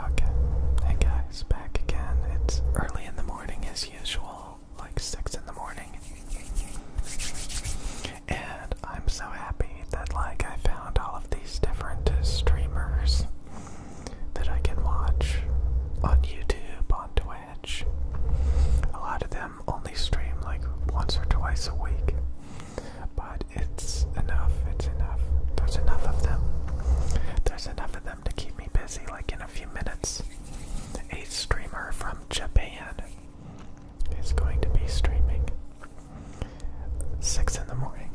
Okay, hey guys, back again. It's early in the morning as usual, like 6 in the morning. And I'm so happy that, like, I found all of these different streamers that I can watch on YouTube, on Twitch. A lot of them only stream like once or twice a week. But it's enough, it's enough. There's enough of them. There's enough of them to keep me busy, like in a few minutes. A streamer from Japan is going to be streaming. Six in the morning.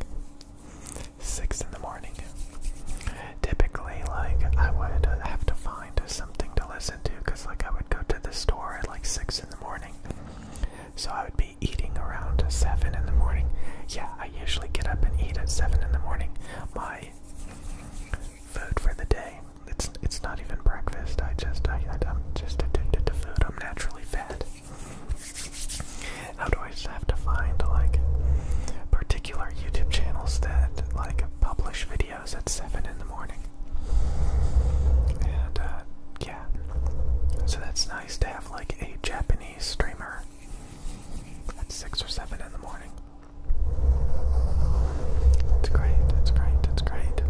Six in the morning. Typically, like, I would have to find something to listen to because, like, I would go to the store at like six in the morning. So I would be eating around 7 in the morning. Yeah, I usually get up and eat at 7 in the morning. My food for the day. It's it's not even breakfast. I just I am just addicted to food. I'm naturally fat. How do I just have to find like particular YouTube channels that like publish videos at seven in the morning? And uh, yeah, so that's nice to have like a Japanese streamer at six or seven in the morning. It's great. It's great. It's great.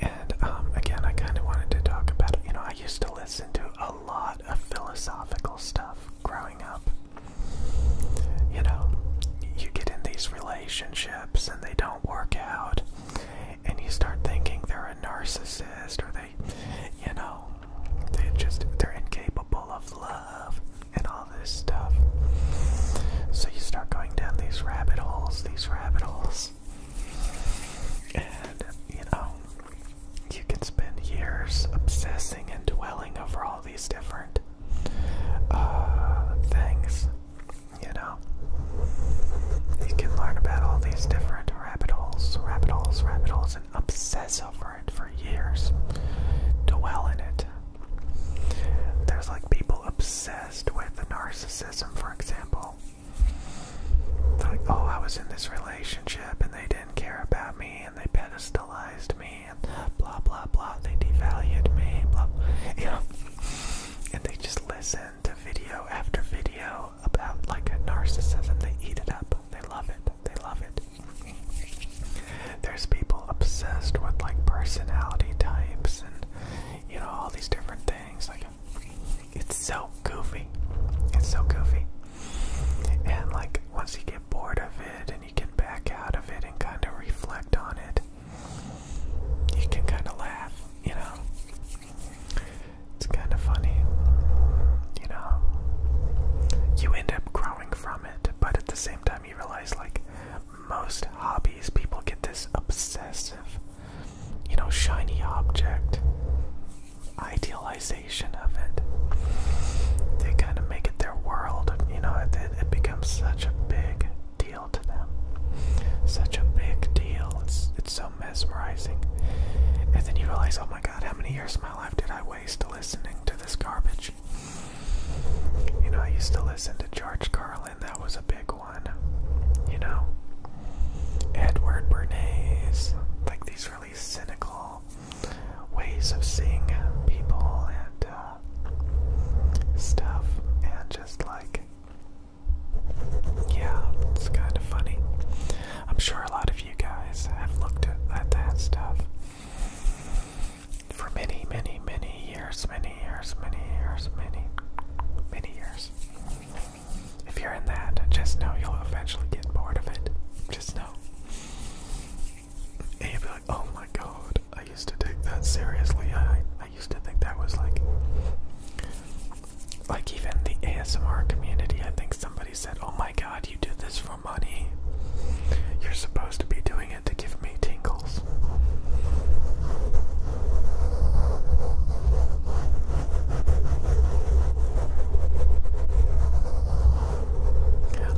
And um, again, I kind of wanted to talk about you know I used to listen to a lot of philosophical stuff growing up. You know, you get in these relationships and they don't work out, and you start thinking they're a narcissist or they, you know, they just they're incapable of love and all this stuff. So you start going down these rabbit holes, these rabbit holes, and you know, you can spend years obsessing and dwelling over all these different uh, things. You know, you can learn about all these different rabbit holes, rabbit holes, rabbit holes, and obsess over it for years. Dwell in it. There's like people obsessed with the narcissism, for example. like, oh, I was in this relationship and they didn't care about me and they pedestalized me and blah, blah, blah. They devalued me, blah, you know. And they just listen to video after video know about like a narcissism. They eat it up. They love it. They love it. There's people obsessed with like personality types and you know all these different things. Like it's so goofy. It's so goofy. And like once you get bored of it and you get back out of it and kind of reflect on it, you can kind of laugh, you know. It's kind of funny, you know. You end up growing from it, but at the same time, you realize like most hobbies, people get this obsessive, you know, shiny object idealization of it. They kind of make it their world, you know, it, becomes such a big deal to them. Such a big deal. It's, it's so mesmerizing. And then you realize, oh my god, how many years of my life did I waste listening to this garbage? You know, I used to listen to George Carlin, that was a big one. You know? Edward Bernays, like these really cynical ways of seeing people and uh, stuff, and just like yeah, it's kind of funny. I'm sure a lot of you guys have looked at, that stuff for many, many, many years, many years, many years, many, many years. If you're in that, just know you'll eventually get bored of it. Just know. And you'll be like, oh my god, I used to take that seriously. I, I used to think that was like like even the ASMR community, I think somebody said, "Oh my God, you do this for money. You're supposed to be doing it to give me tingles."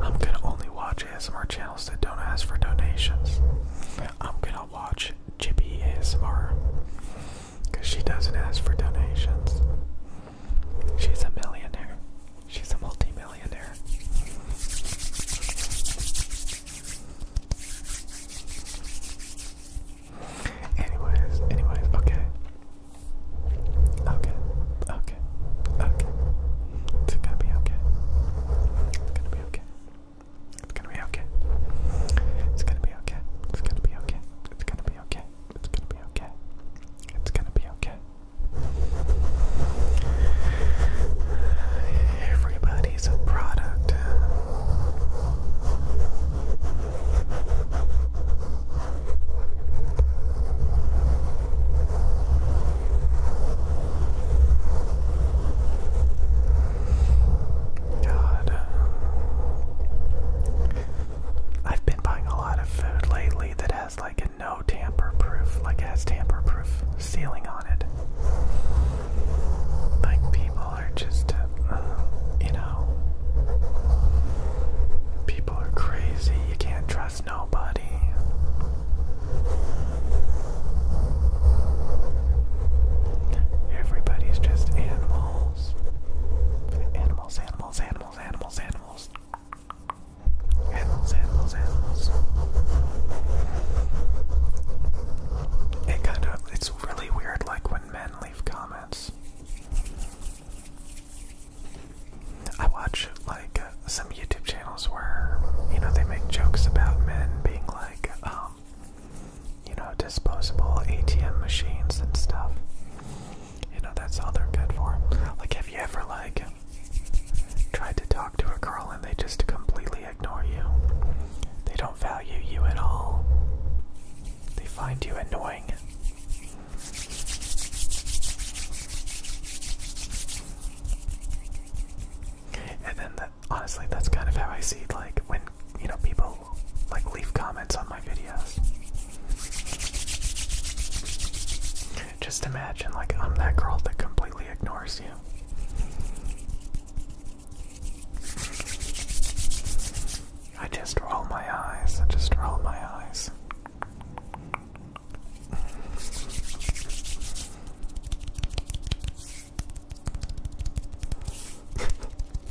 I'm gonna only watch ASMR channels that don't ask for donations. I'm gonna watch Jippy ASMR. Because she doesn't ask for donations. She's a millionaire. She's a multimillionaire. Anyways, anyways, okay. Okay, okay, okay. It's gonna be okay. It's gonna be okay. It's gonna be okay. It's gonna be okay. It's gonna be okay. It's gonna it's gonna be okay. It's gonna be okay. Everybody's a product. God. I've been buying a lot of food lately that has like a no tamper proof, like it has tamper proof sealing on it. Like people are just, uh, you know, people are crazy. You can't trust nobody. Everybody's just animals animals. Animals, animals, animals, animals, animals. Animals, animals, It kind of, it's really weird like when men leave comments. I watch like some YouTube channels where, you know, they make jokes about men being like, um, you know, disposable ATM machines and stuff. You know, that's all they're good for. Like, have you ever, like, tried to talk to a girl and they just completely ignore you? They don't value you at all. They find you annoying. And then, honestly, that's kind of how I see, like, when you know, people like leave comments on my videos. Just imagine, like, I'm that girl that completely ignores you. I just roll my eyes, I just roll my eyes.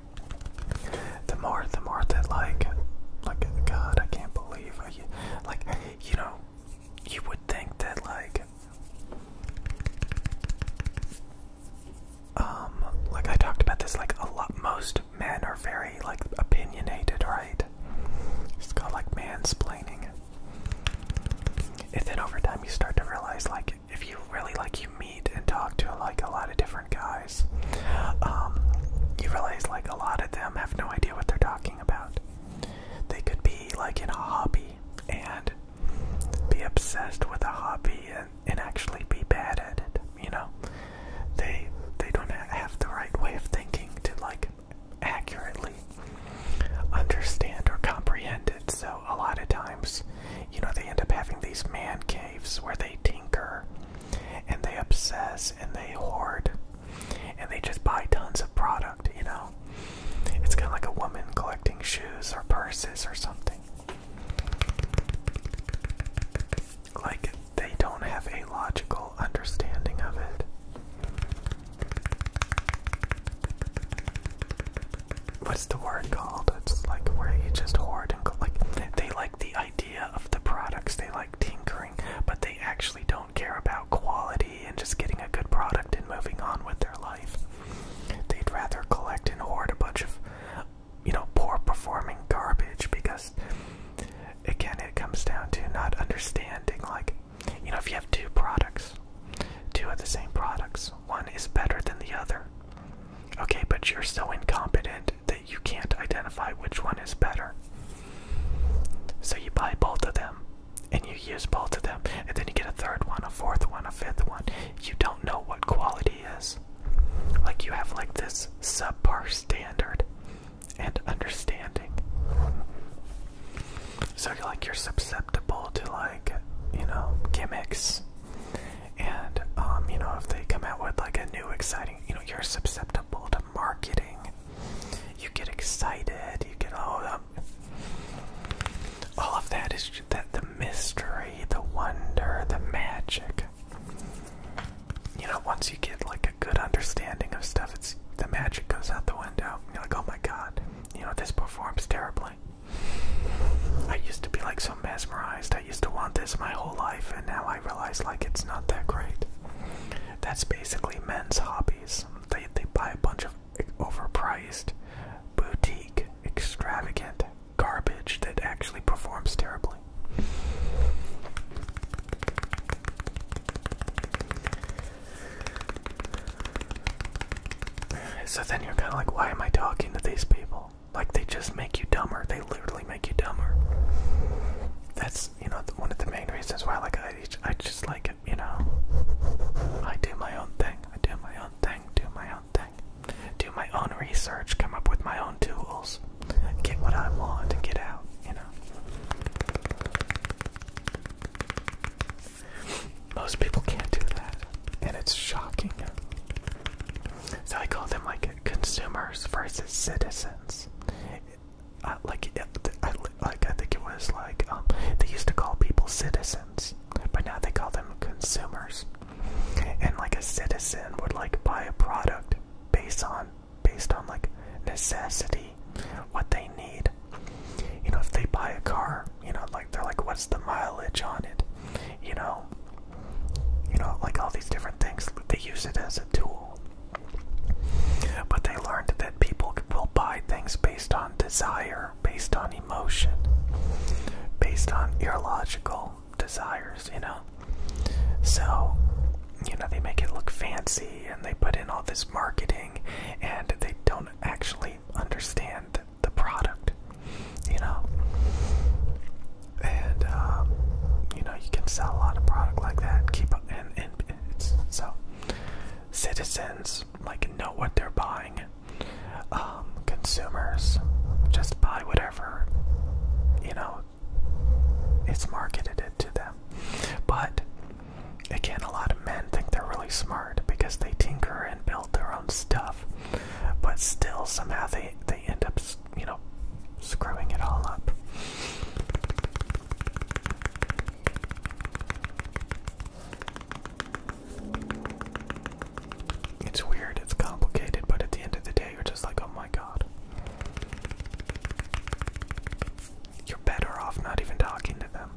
The more, the more that like, like God, I can't believe, like you know, you would think that like, um, like I talked about this like a lot. Most men are very like opinionated, right? It's called like mansplaining. And then over time, you start to realize like if you really like you and talk to like a lot of different guys, um, you realize like a lot of them have no idea what they're talking about. They could be like in a hobby and be obsessed with a hobby and actually be bad at it. You know, they they don't have the right way of thinking to like accurately understand or comprehend it. So a lot of times, you know, they end up having these man caves where they tinker and they obsess and they hoard and they just buy tons of product, you know? It's kind of like a woman collecting shoes or purses or something. Like they don't have a logical understanding of it. What's the word called? It's like where you just hoard and like they like the idea of the products. They like tinkering, but they actually don't care about quality and just getting a good product and moving on with their life. They'd rather collect and hoard a bunch of, you know, poor performing garbage because, again, it comes down to not understanding, like, you know, if you have two products, two of the same products, one is better than the other. Okay, but you're so incompetent that you can't identify which one is better. So you buy both of them and you use both of them, and then you get a third one, a fourth one, a fifth one. You don't know what quality is. Like you have like this subpar standard and understanding. So you're like you're susceptible to like, you know, gimmicks and um, you know, if they come out with like a new exciting, you know, you're susceptible to marketing. You get excited. You get all of them. All of that is that the mystery, the wonder, the magic. You know, once you get like a good understanding of stuff, it's the magic goes out the window. You're like, oh my god, you know, this performs terribly. I used to be like so mesmerized. I used to want this my whole life, and now I realize like it's not that great. That's basically men's hobbies. They they buy a bunch of overpriced, boutique, extravagant garbage that actually performs terribly. So then you're kind of like, why am I talking to these people? Like they just make you dumber. They literally make you dumber. That's you know one of the main reasons why like I I just like you know I do my own thing. I do my own thing. Do my own thing. Do my own research. Come up with my own tools. Get what I want and get out. You know. Most people can't do that, and it's shocking. So I call them like consumers versus citizens. Uh, like, I, like I think it was like um, they used to call people citizens, but now they call them consumers. And like a citizen would like buy a product based on based on like necessity, what they need. You know, if they buy a car, you know, like they're like, what's the mileage on it? you know, you know, like all these different things. They use it as a tool, but they learned that people will buy things based on desire, based on emotion, based on irreligious desires. You know, so you know they make it look fancy and they put in all this marketing, and they don't actually understand the product you know. And um, you know, you can sell a lot of product like that. Keep up and and it's, so citizens like know what they're buying. Um, consumers just buy whatever you know it's marketed it to them. But again, a lot of men think they're really smart because they tinker and build their own stuff, but still somehow they they end up you know, screwing it all up. It's weird, it's complicated, but at the end of the day, you're just like, oh my god. You're better off not even talking to them.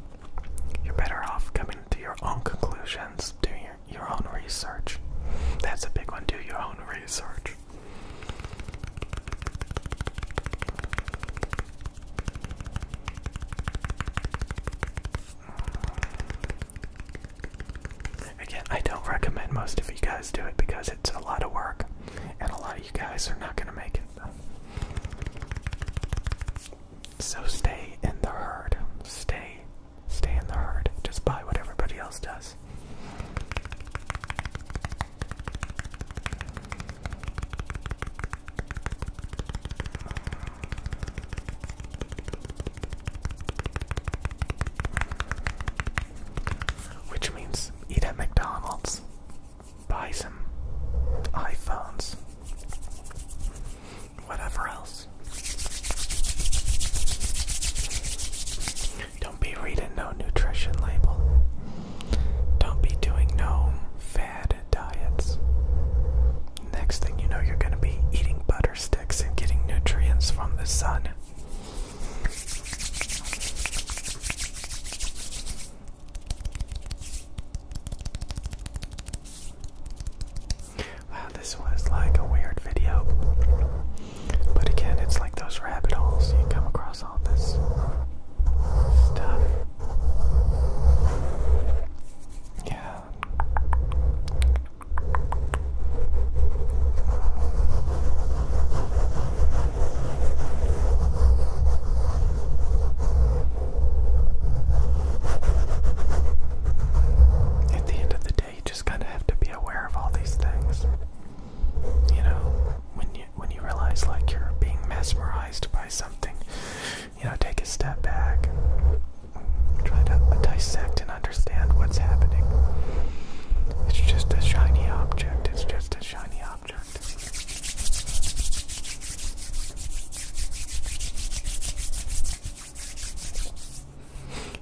You're better off coming to your own conclusions, doing your, own research. That's a big one. Do your own research. Again, I don't recommend most of you guys do it because it's a lot of work, and a lot of you guys are not going to make it. So stay in the herd. Stay Stay in the herd. Just buy what everybody else does. Which means eat at McDonald's, buy some iPhones, whatever else. Don't be reading no nutrition label. Don't be doing no fad diets. Next thing you know, you're going to be eating butter sticks and getting nutrients from the sun. Wow, this was like a weird video. But again, it's like those rabbit holes. You come across all this stuff. Yeah. At the end of the day, you just kind of have to be aware of all these things. You know, when you when you realize like you're being mesmerized by something, you know, take a step back and try to dissect and understand what's happening. It's just a shiny object. It's just a shiny object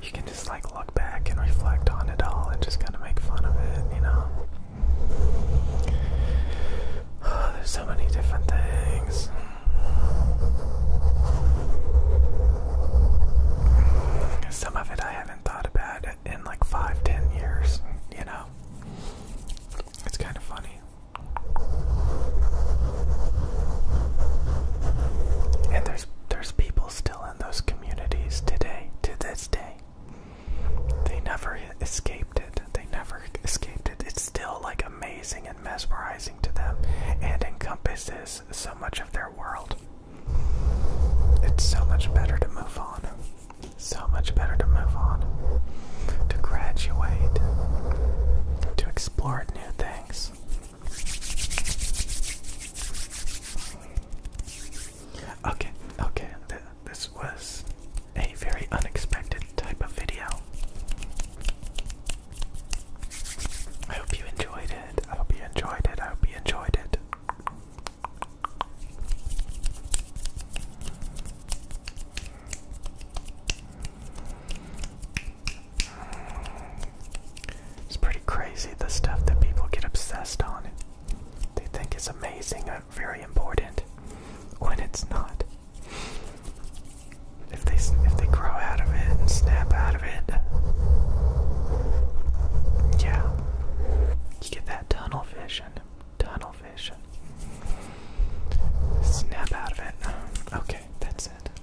you can just like look back and reflect on it all and just kind of make fun of it, you know. there's so many different things. Some of it I haven't thought about in like five, ten years, you know. It's kind of funny. And there's there's people still in those communities today, to this day. They never escaped it. They never escaped it. It's still like amazing and mesmerizing to them and encompasses so much of their world. It's so much better to move on. So much better to move on. To graduate. To explore new things. Okay, okay, this was a very unexpected type of video. I hope you enjoyed it. I hope you enjoyed it. I hope you enjoyed it. It's pretty crazy the stuff that people get obsessed on. They think it's amazing or uh, very important when it's not. If they if they grow out of it and snap out of it, yeah, you get that tunnel vision. Tunnel vision. Snap out of it. Okay, that's it.